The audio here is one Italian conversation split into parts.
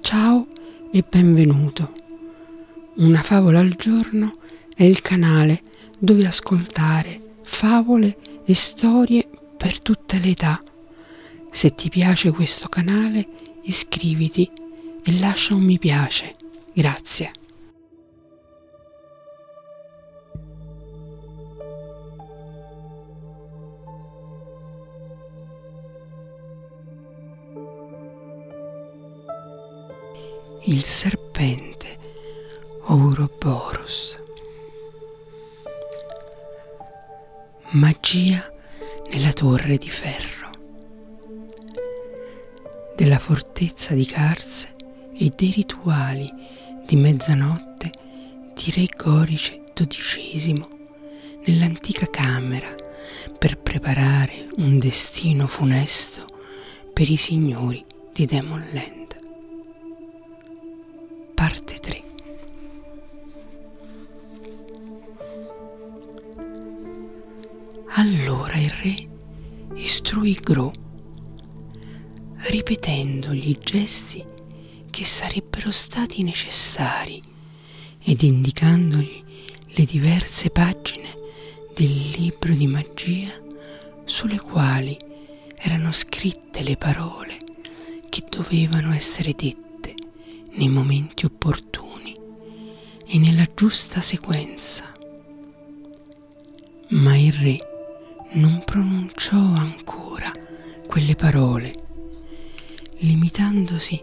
Ciao e benvenuto. Una favola al giorno è il canale dove ascoltare favole e storie per tutte le età. Se ti piace questo canale iscriviti e lascia un mi piace. Grazie il serpente Ouroboros. Magia nella torre di ferro. Della fortezza di Carse e dei rituali di mezzanotte di re Gorice XII nell'antica camera per preparare un destino funesto per i signori di Demonland. Parte 3 Allora il re istruì Gro ripetendogli i gesti che sarebbero stati necessari ed indicandogli le diverse pagine del libro di magia sulle quali erano scritte le parole che dovevano essere dette nei momenti opportuni e nella giusta sequenza. Ma il re non pronunciò ancora quelle parole, limitandosi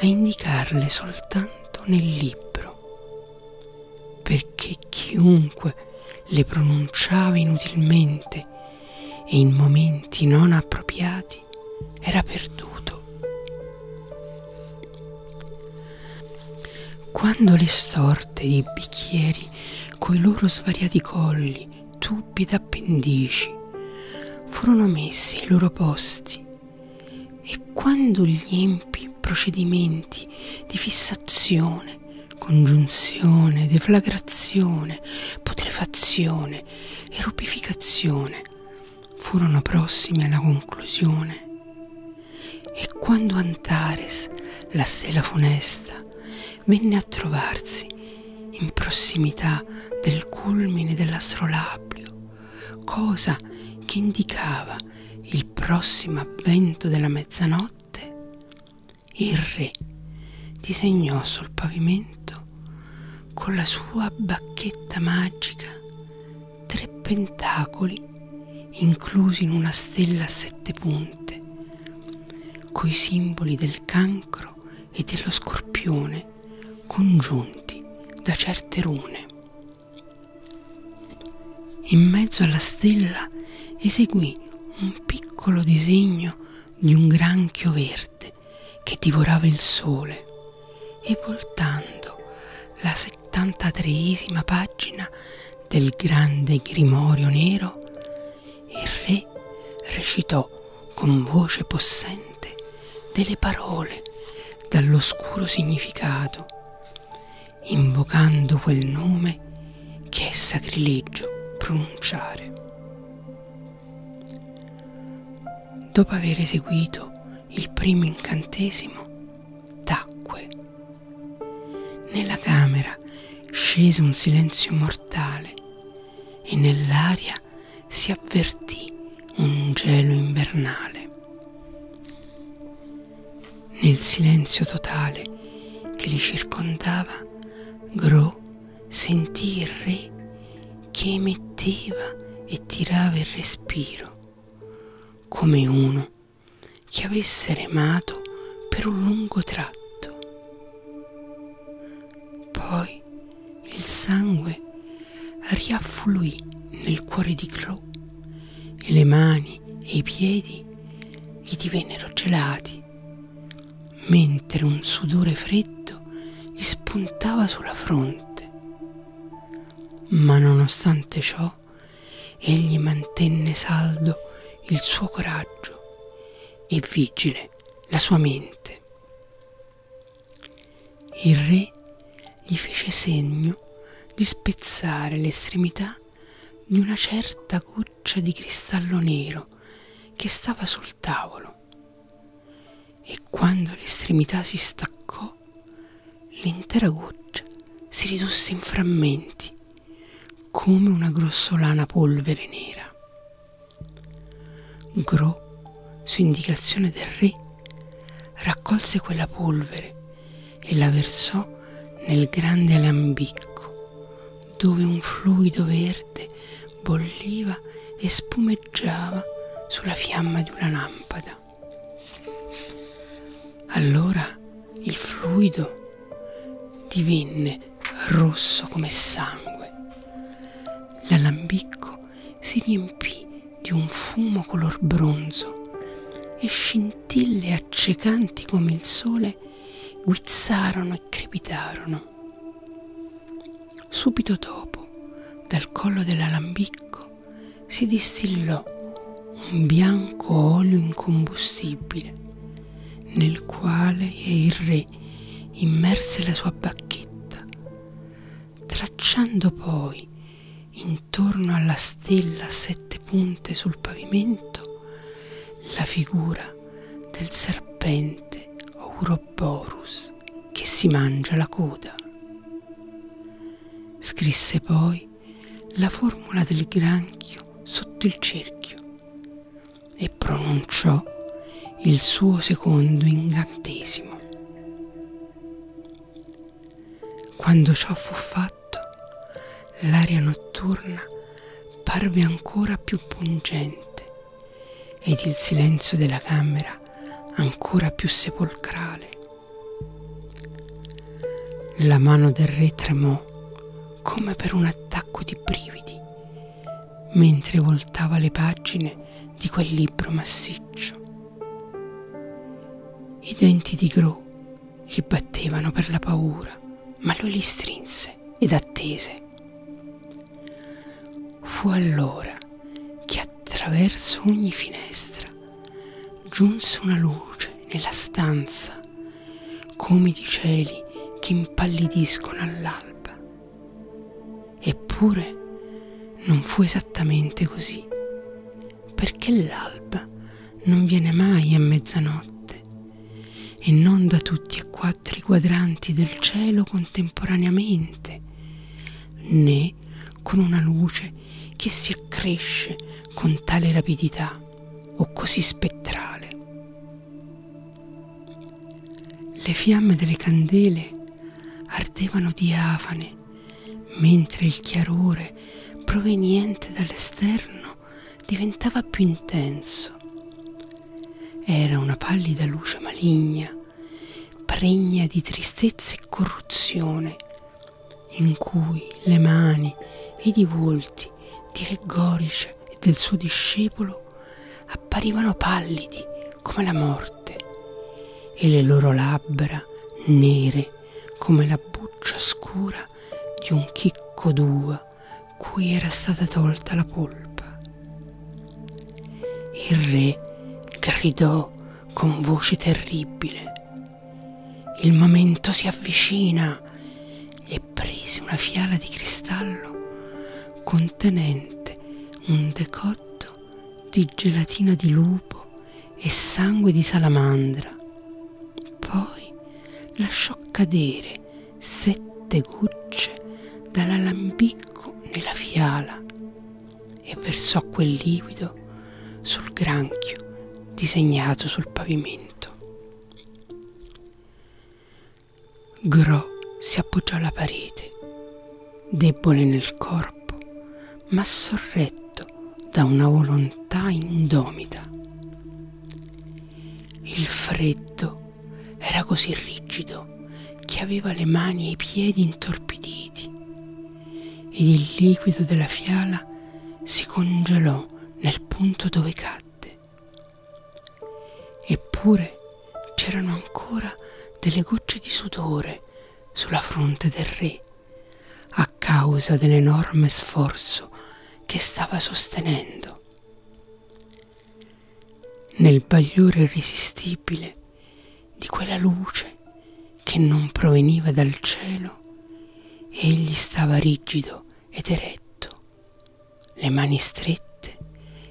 a indicarle soltanto nel libro, perché chiunque le pronunciava inutilmente e in momenti non appropriati era perduto. Quando le storte dei bicchieri coi loro svariati colli tubbi d'appendici furono messi ai loro posti e quando gli empi procedimenti di fissazione, congiunzione, deflagrazione, putrefazione e rupificazione furono prossimi alla conclusione. E quando Antares, la stella funesta, strada, venne a trovarsi in prossimità del culmine dell'astrolabio, cosa che indicava il prossimo avvento della mezzanotte. Il re disegnò sul pavimento con la sua bacchetta magica tre pentacoli inclusi in una stella a sette punte, coi simboli del cancro e dello scorpione congiunti da certe rune. In mezzo alla stella eseguì un piccolo disegno di un granchio verde che divorava il sole e voltando la 73esima pagina del grande grimorio nero, il re recitò con voce possente delle parole dall'oscuro significato, invocando quel nome che è sacrilegio pronunciare. Dopo aver eseguito il primo incantesimo, tacque. Nella camera scese un silenzio mortale e nell'aria si avvertì un gelo invernale. Nel silenzio totale che li circondava, Gro sentì il re che emetteva e tirava il respiro, come uno che avesse remato per un lungo tratto. Poi e il sangue riaffluì nel cuore di Crow e le mani e i piedi gli divennero gelati, mentre un sudore freddo gli spuntava sulla fronte. Ma nonostante ciò, egli mantenne saldo il suo coraggio e vigile la sua mente. Il re gli fece segno di spezzare l'estremità di una certa goccia di cristallo nero che stava sul tavolo e quando l'estremità si staccò l'intera goccia si ridusse in frammenti come una grossolana polvere nera. Gro, su indicazione del re, raccolse quella polvere e la versò nel grande alambicco, dove un fluido verde bolliva e spumeggiava sulla fiamma di una lampada. Allora il fluido divenne rosso come sangue. L'alambicco si riempì di un fumo color bronzo e scintille accecanti come il sole guizzarono e crepitarono. Subito dopo, dal collo dell'alambicco si distillò un bianco olio incombustibile nel quale il re mari immerse la sua bacchetta, tracciando poi intorno alla stella a sette punte sul pavimento la figura del serpente Ouroboros che si mangia la coda. Scrisse poi la formula del granchio sotto il cerchio, e pronunciò il suo secondo incantesimo. Quando ciò fu fatto, l'aria notturna parve ancora più pungente ed il silenzio della camera ancora più sepolcrale. La mano del re tremò come per un attacco di brividi mentre voltava le pagine di quel libro massiccio. I denti di Gro gli battevano per la paura, ma lui li strinse ed attese. Fu allora che attraverso ogni finestra giunse una luce nella stanza, come di cieli che impallidiscono all'alba Eppure non fu esattamente così, perché l'alba non viene mai a mezzanotte e non da tutti e quattro i quadranti del cielo contemporaneamente, né con una luce che si accresce con tale rapidità o così spettrale. Le fiamme delle candele ardevano diafane, mentre il chiarore proveniente dall'esterno diventava più intenso. Era una pallida luce maligna, pregna di tristezza e corruzione, in cui le mani ed i volti di Re Gorice e del suo discepolo apparivano pallidi come la morte e le loro labbra nere come la buccia scura di un chicco d'uva cui era stata tolta la polpa. Il re gridò con voce terribile. Il momento si avvicina e prese una fiala di cristallo con contenente un decotto di gelatina di lupo e sangue di salamandra. Poi lasciò cadere sette gocce dall'alambicco nella fiala e versò quel liquido sul granchio disegnato sul pavimento. Gro si appoggiò alla parete, debole nel corpo, ma sorretto da una volontà indomita. Il freddo era così rigido che aveva le mani e i piedi intorpiditi ed il liquido della fiala si congelò nel punto dove cadde. Eppure c'erano ancora delle gocce di sudore sulla fronte del re a causa dell'enorme sforzo che stava sostenendo. Nel bagliore irresistibile di quella luce che non proveniva dal cielo, egli stava rigido ed eretto, le mani strette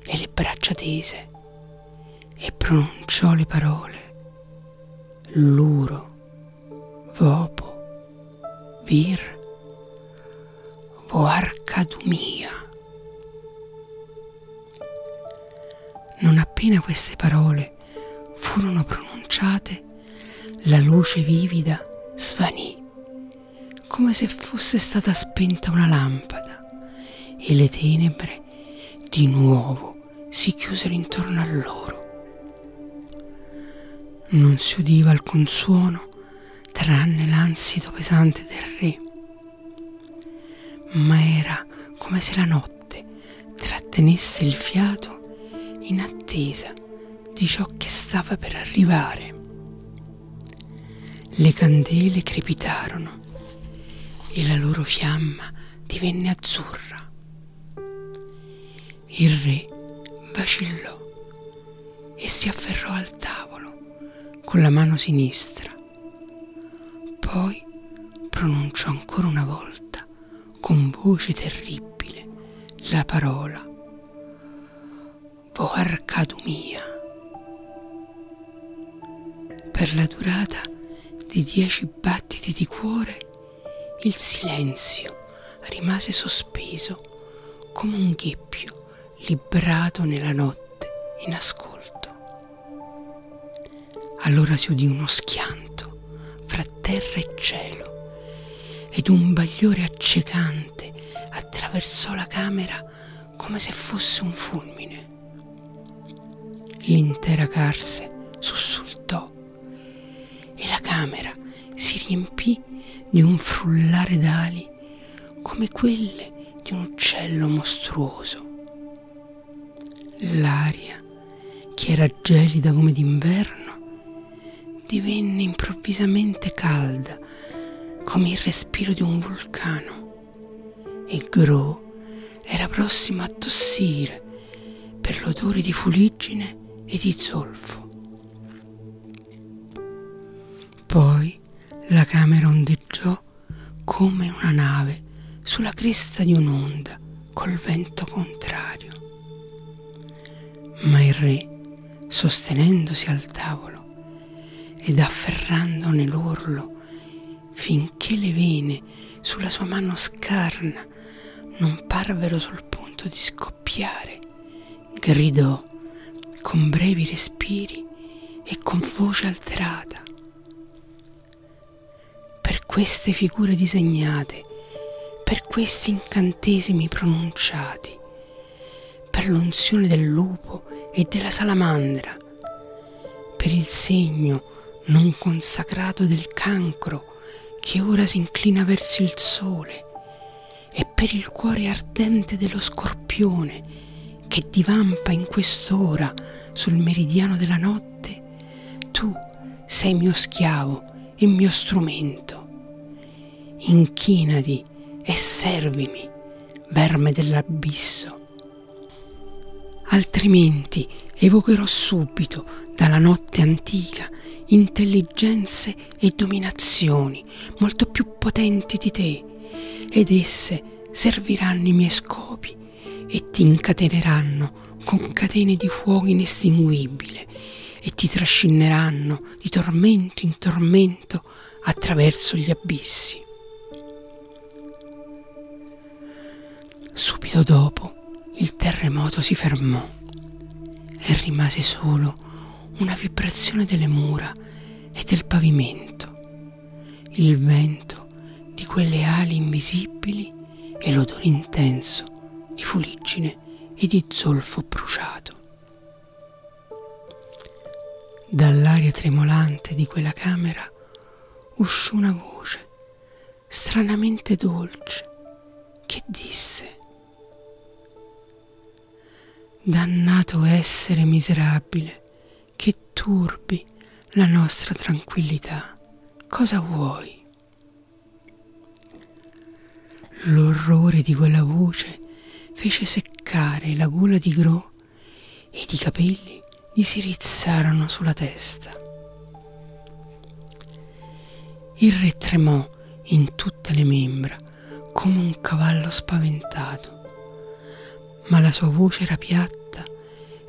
e le braccia tese e pronunciò le parole luro, vopo, vir, voarcadumia. Non appena queste parole furono pronunciate, la luce vivida svanì, come se fosse stata spenta una lampada e le tenebre di nuovo si chiusero intorno a loro. Non si udiva alcun suono tranne l'ansito pesante del re, ma era come se la notte trattenesse il fiato in attesa di ciò che stava per arrivare. Le candele crepitarono e la loro fiamma divenne azzurra. Il re vacillò e si afferrò al tavolo con la mano sinistra. Poi pronunciò ancora una volta con voce terribile la parola Voarcadumia. Per la durata di dieci battiti di cuore, il silenzio rimase sospeso come un gheppio librato nella notte in ascolto. Allora si udì uno schianto fra terra e cielo ed un bagliore accecante attraversò la camera come se fosse un fulmine. L'intera carse sussultò e la camera si riempì di un frullare d'ali come quelle di un uccello mostruoso. L'aria, che era gelida come d'inverno, divenne improvvisamente calda come il respiro di un vulcano e Gru era prossima a tossire per l'odore di fuliggine e di zolfo. Poi la camera ondeggiò come una nave sulla cresta di un'onda col vento contrario. Ma il re, sostenendosi al tavolo ed afferrandone l'orlo finché le vene sulla sua mano scarna non parvero sul punto di scoppiare, gridò con brevi respiri e con voce alterata. Per queste figure disegnate, per questi incantesimi pronunciati, per l'unzione del lupo e della salamandra, per il segno non consacrato del cancro che ora si inclina verso il sole e per il cuore ardente dello scorpione che divampa in quest'ora sul meridiano della notte, tu sei mio schiavo e mio strumento. Inchinati e servimi, verme dell'abisso. Altrimenti evocherò subito dalla notte antica intelligenze e dominazioni molto più potenti di te ed esse serviranno i miei scopi e ti incateneranno con catene di fuoco inestinguibile e ti trascineranno di tormento in tormento attraverso gli abissi. Subito dopo il terremoto si fermò e rimase solo una vibrazione delle mura e del pavimento, il vento di quelle ali invisibili e l'odore intenso di fuliggine e di zolfo bruciato. Dall'aria tremolante di quella camera uscì una voce stranamente dolce che disse Dannato essere miserabile che turbi la nostra tranquillità, cosa vuoi? L'orrore di quella voce fece seccare la gola di Gro ed i capelli gli si rizzarono sulla testa. Il re tremò in tutte le membra come un cavallo spaventato, ma la sua voce era piatta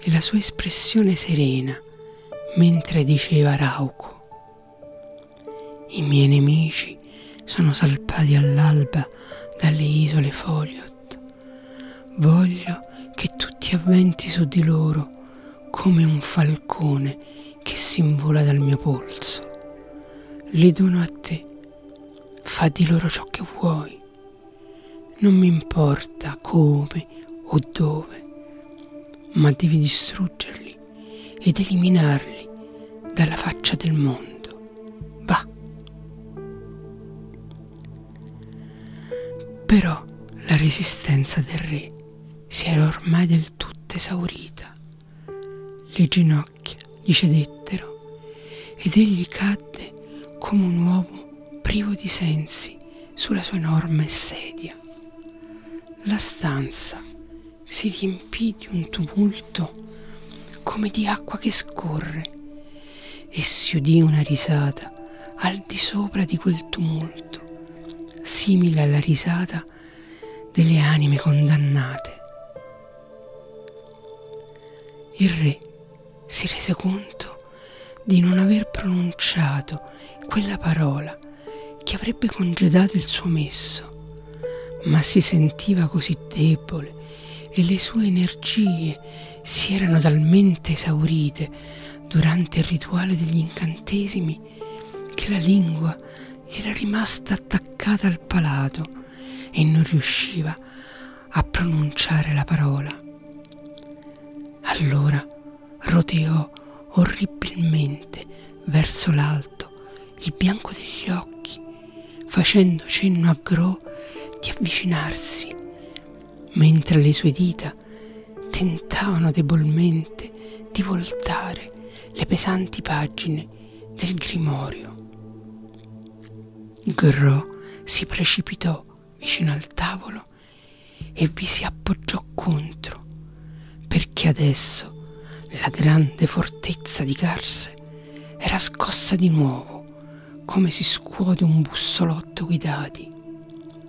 e la sua espressione serena mentre diceva Rauco. I miei nemici sono salpati all'alba dalle isole Foliot. Voglio che tu ti avventi su di loro come un falcone che s'invola dal mio polso. Li dono a te, fa di loro ciò che vuoi. Non mi importa come o dove, ma devi distruggerli ed eliminarli dalla faccia del mondo. Va. Però la resistenza del re si era ormai del tutto esaurita. Le ginocchia gli cedettero ed egli cadde come un uomo privo di sensi sulla sua enorme sedia. La stanza si riempì di un tumulto come di acqua che scorre e si udì una risata al di sopra di quel tumulto, simile alla risata delle anime condannate. Il re si rese conto di non aver pronunciato quella parola che avrebbe congedato il suo messo, ma si sentiva così debole e le sue energie si erano talmente esaurite durante il rituale degli incantesimi che la lingua gli era rimasta attaccata al palato e non riusciva a pronunciare la parola. Allora roteò orribilmente verso l'alto il bianco degli occhi, facendo cenno a Gro di avvicinarsi, mentre le sue dita tentavano debolmente di voltare le pesanti pagine del grimorio. Gro si precipitò vicino al tavolo e vi si appoggiò contro, perché adesso la grande fortezza di Carse era scossa di nuovo come si scuote un bussolotto guidati.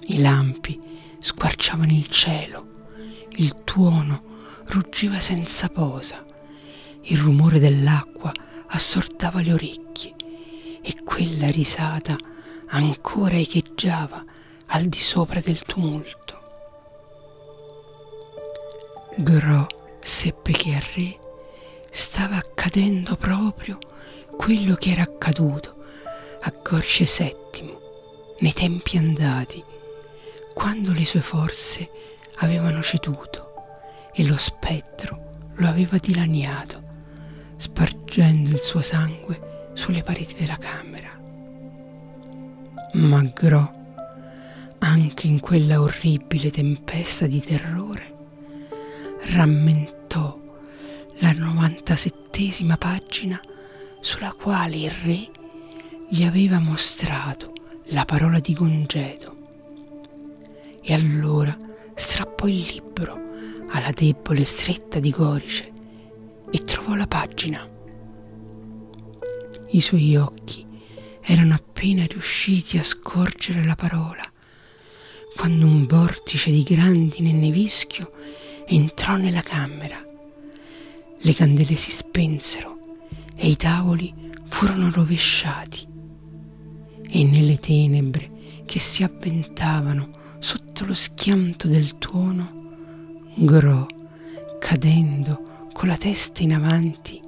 I lampi squarciavano il cielo, il tuono ruggiva senza posa, il rumore dell'acqua assortava le orecchie e quella risata ancora echeggiava al di sopra del tumulto. Gro seppe che al re me stava accadendo proprio quello che era accaduto a Gorce VII nei tempi andati, quando le sue forze avevano ceduto e lo spettro lo aveva dilaniato, spargendo il suo sangue sulle pareti della camera. Ma Gro, anche in quella orribile tempesta di terrore, Rammentò la 97 pagina sulla quale il re gli aveva mostrato la parola di congedo. E allora strappò il libro alla debole stretta di Gorice e trovò la pagina. I suoi occhi erano appena riusciti a scorgere la parola quando un vortice di grandine e nevischio entrò nella camera. Le candele si spensero e i tavoli furono rovesciati e nelle tenebre che si avventavano sotto lo schianto del tuono, Gro, cadendo con la testa in avanti,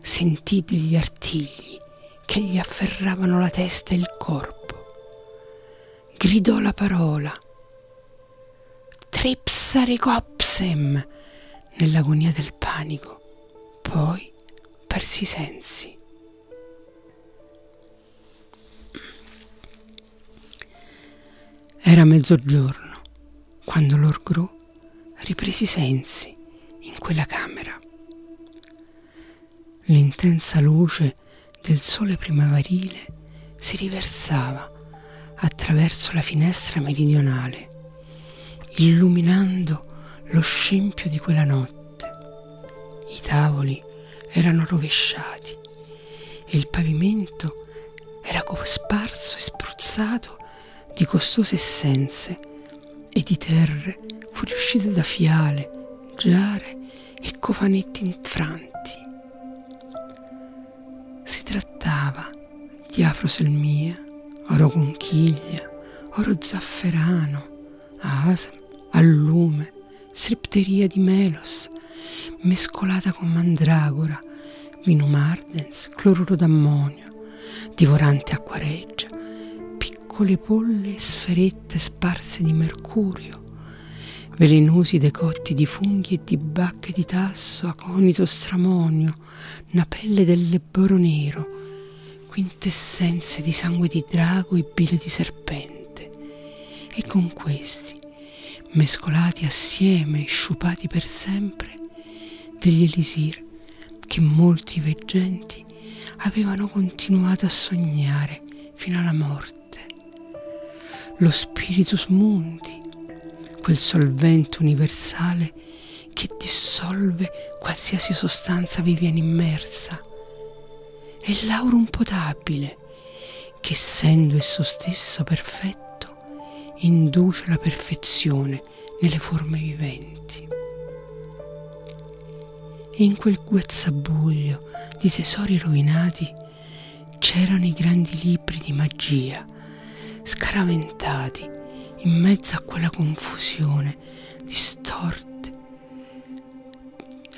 sentì degli artigli che gli afferravano la testa e il corpo. Gridò la parola Tripsaricopsem nell'agonia del panico, poi persi i sensi. Era mezzogiorno quando l'orgru riprese i sensi in quella camera. L'intensa luce del sole primaverile si riversava attraverso la finestra meridionale, illuminando lo scempio di quella notte. I tavoli erano rovesciati e il pavimento era cosparso e spruzzato di costose essenze e di terre fuoriuscite da fiale, giare e cofanetti infranti. Si trattava di afroselmia, oro conchiglia, oro zafferano, asam, allume, strepteria di melos, mescolata con mandragora, vino mardens, cloruro d'ammonio, divorante acquareggia, piccole polle sferette sparse di mercurio, velenosi decotti di funghi e di bacche di tasso, aconito stramonio, napelle del lebboro nero, quintessenze di sangue di drago e bile di serpente. E con questi, mescolati assieme e sciupati per sempre, degli elisir che molti veggenti avevano continuato a sognare fino alla morte. Lo Spiritus Mundi, quel solvente universale che dissolve qualsiasi sostanza vi viene immersa, e l'aurum potabile, che essendo esso stesso perfetto, induce la perfezione nelle forme viventi e in quel guazzabuglio di tesori rovinati c'erano i grandi libri di magia, scaraventati in mezzo a quella confusione di storte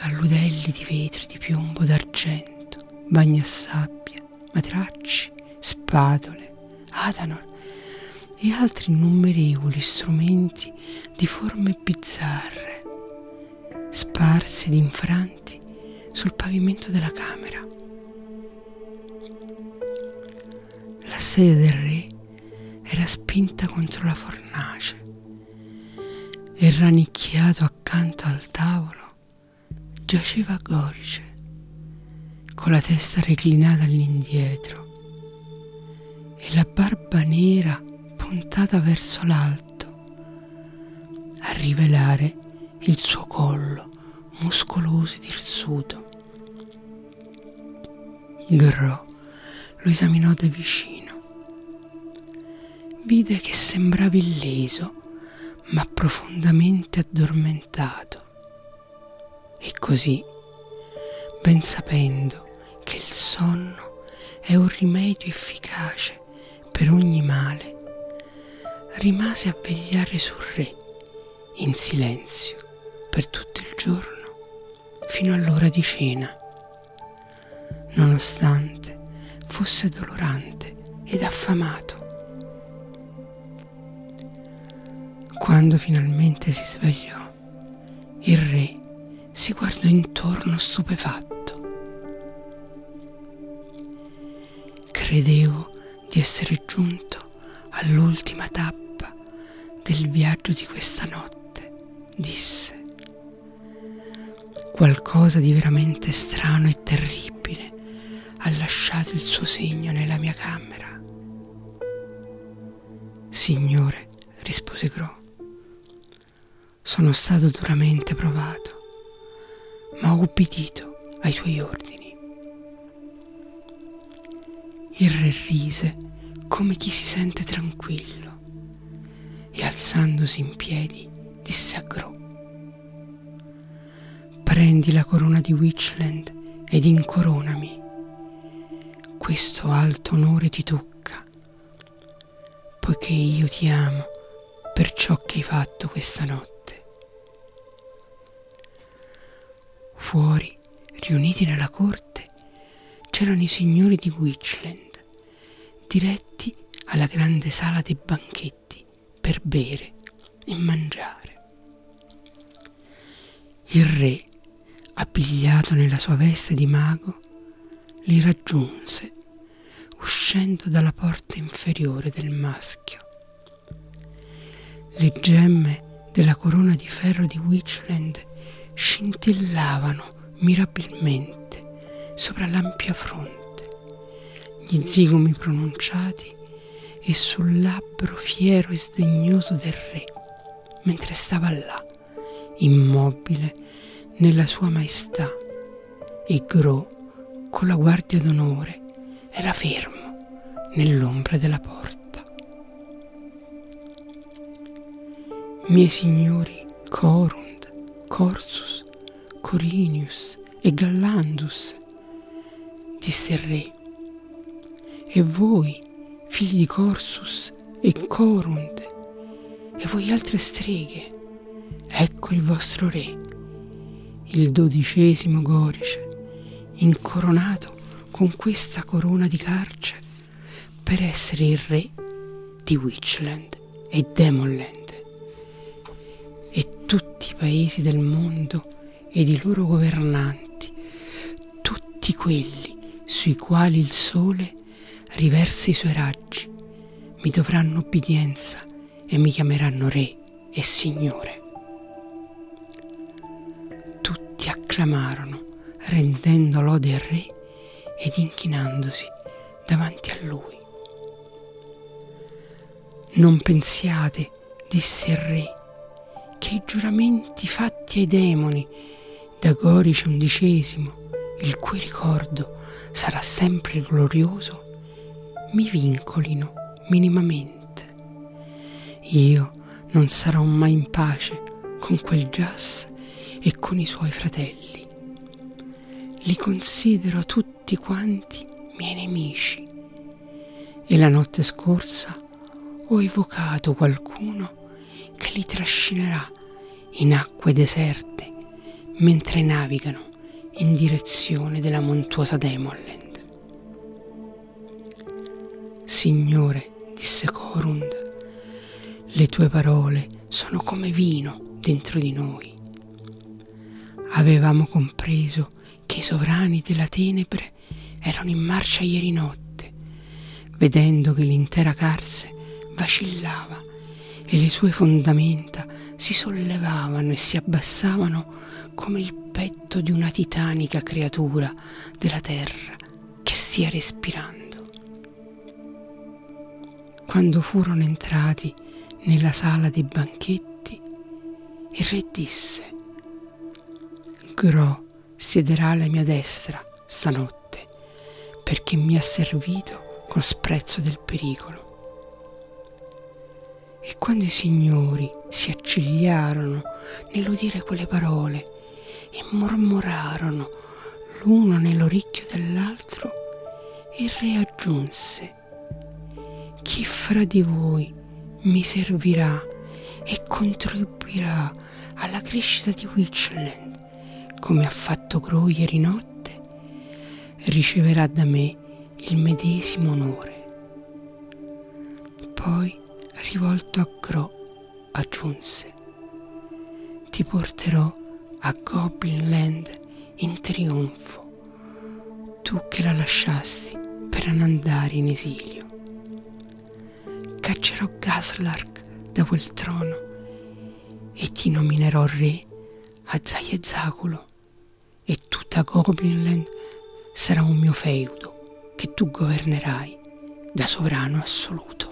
alludelli di vetro, di piombo, d'argento, bagni a sabbia, matracci, spatole, atanor e altri innumerevoli strumenti bianchi di forme bizzarre, sparsi ed infranti sul pavimento della camera. La sedia del re era spinta contro la fornace e rannicchiato accanto al tavolo giaceva Gorice con la testa reclinata all'indietro e la barba nera puntata verso l'alto a rivelare il suo collo muscoloso e dirsuto. Gro lo esaminò da vicino. Vide che sembrava illeso, ma profondamente addormentato. E così, ben sapendo che il sonno è un rimedio efficace per ogni male, rimase a vegliare sul re, in silenzio, per tutto il giorno, fino all'ora di cena. Nonostante fosse dolorante ed affamato. Quando finalmente si svegliò, città. Il re si guardò intorno stupefatto. Credevo di essere giunto all'ultima tappa del viaggio di questa notte, disse. Qualcosa di veramente strano e terribile ha lasciato il suo segno nella mia camera. Signore, rispose Gro, sono stato duramente provato, ma ho ubbidito ai tuoi ordini. Il re rise come chi si sente tranquillo e alzandosi in piedi disse a Gro. Prendi la corona di Witchland ed incoronami. Questo alto onore ti tocca, poiché io ti amo per ciò che hai fatto questa notte. Fuori, riuniti nella corte, c'erano i signori di Witchland, diretti alla grande sala dei banchetti per bere e mangiare. Il re appigliato nella sua veste di mago, li raggiunse, uscendo dalla porta inferiore del maschio. Le gemme della corona di ferro di Witchland scintillavano mirabilmente sopra l'ampia fronte, gli zigomi pronunciati e sul labbro fiero e sdegnoso del re, mentre stava là immobile nella sua maestà, e Gro, con la guardia d'onore, era fermo nell'ombra della porta. Miei signori Corund, Corsus, Corinius e Gallandus, disse il re, e voi, figli di Corsus, Deus e Corunt, e voi altre streghe, ecco il vostro re, il dodicesimo Gorice, incoronato con questa corona di carce per essere il re di Witchland e Demonland. E tutti i paesi del mondo ed i loro governanti, tutti quelli sui quali il sole riversi i suoi raggi, mi dovranno obbedienza e mi chiameranno Re e Signore. Tutti acclamarono, rendendo lode al Re ed inchinandosi davanti a lui. Non pensiate, disse il Re, che i giuramenti fatti ai demoni Dagorisce XI, il cui ricordo sarà sempre glorioso, mi vincolino minimamente. Io non sarò mai in pace con quel jazz e con i suoi fratelli. Li considero tutti quanti miei nemici. E la notte scorsa ho evocato qualcuno che li trascinerà in acque deserte mentre navigano in direzione della montuosa Demoland. Signore, disse Corund, le tue parole sono come vino dentro di noi. Avevamo compreso che i sovrani della tenebre erano in marcia ieri notte vedendo che l'intera Carse vacillava e le sue fondamenta si sollevavano e si abbassavano come il petto di una titanica creatura della terra che stia respirando. Quando furono entrati nella sala dei banchetti, il re disse, Gro siederà alla mia destra stanotte, perché mi ha servito col sprezzo del pericolo. E quando i signori si accigliarono nell'udire quelle parole e mormorarono l'uno nell'orecchio dell'altro, il re aggiunse, chi fra di voi mi servirà e contribuirà alla crescita di Witchland? come ha fatto Gro ieri notte, riceverà da me il medesimo onore. Poi, rivolto a Gro, aggiunse, ti porterò a Goblin Land in trionfo, tu che la lasciasti per andare in esilio. Caccerò Gaslark da quel trono e ti nominerò re a Zayezaculo e tutta Goblinland sarà un mio feudo che tu governerai da sovrano assoluto.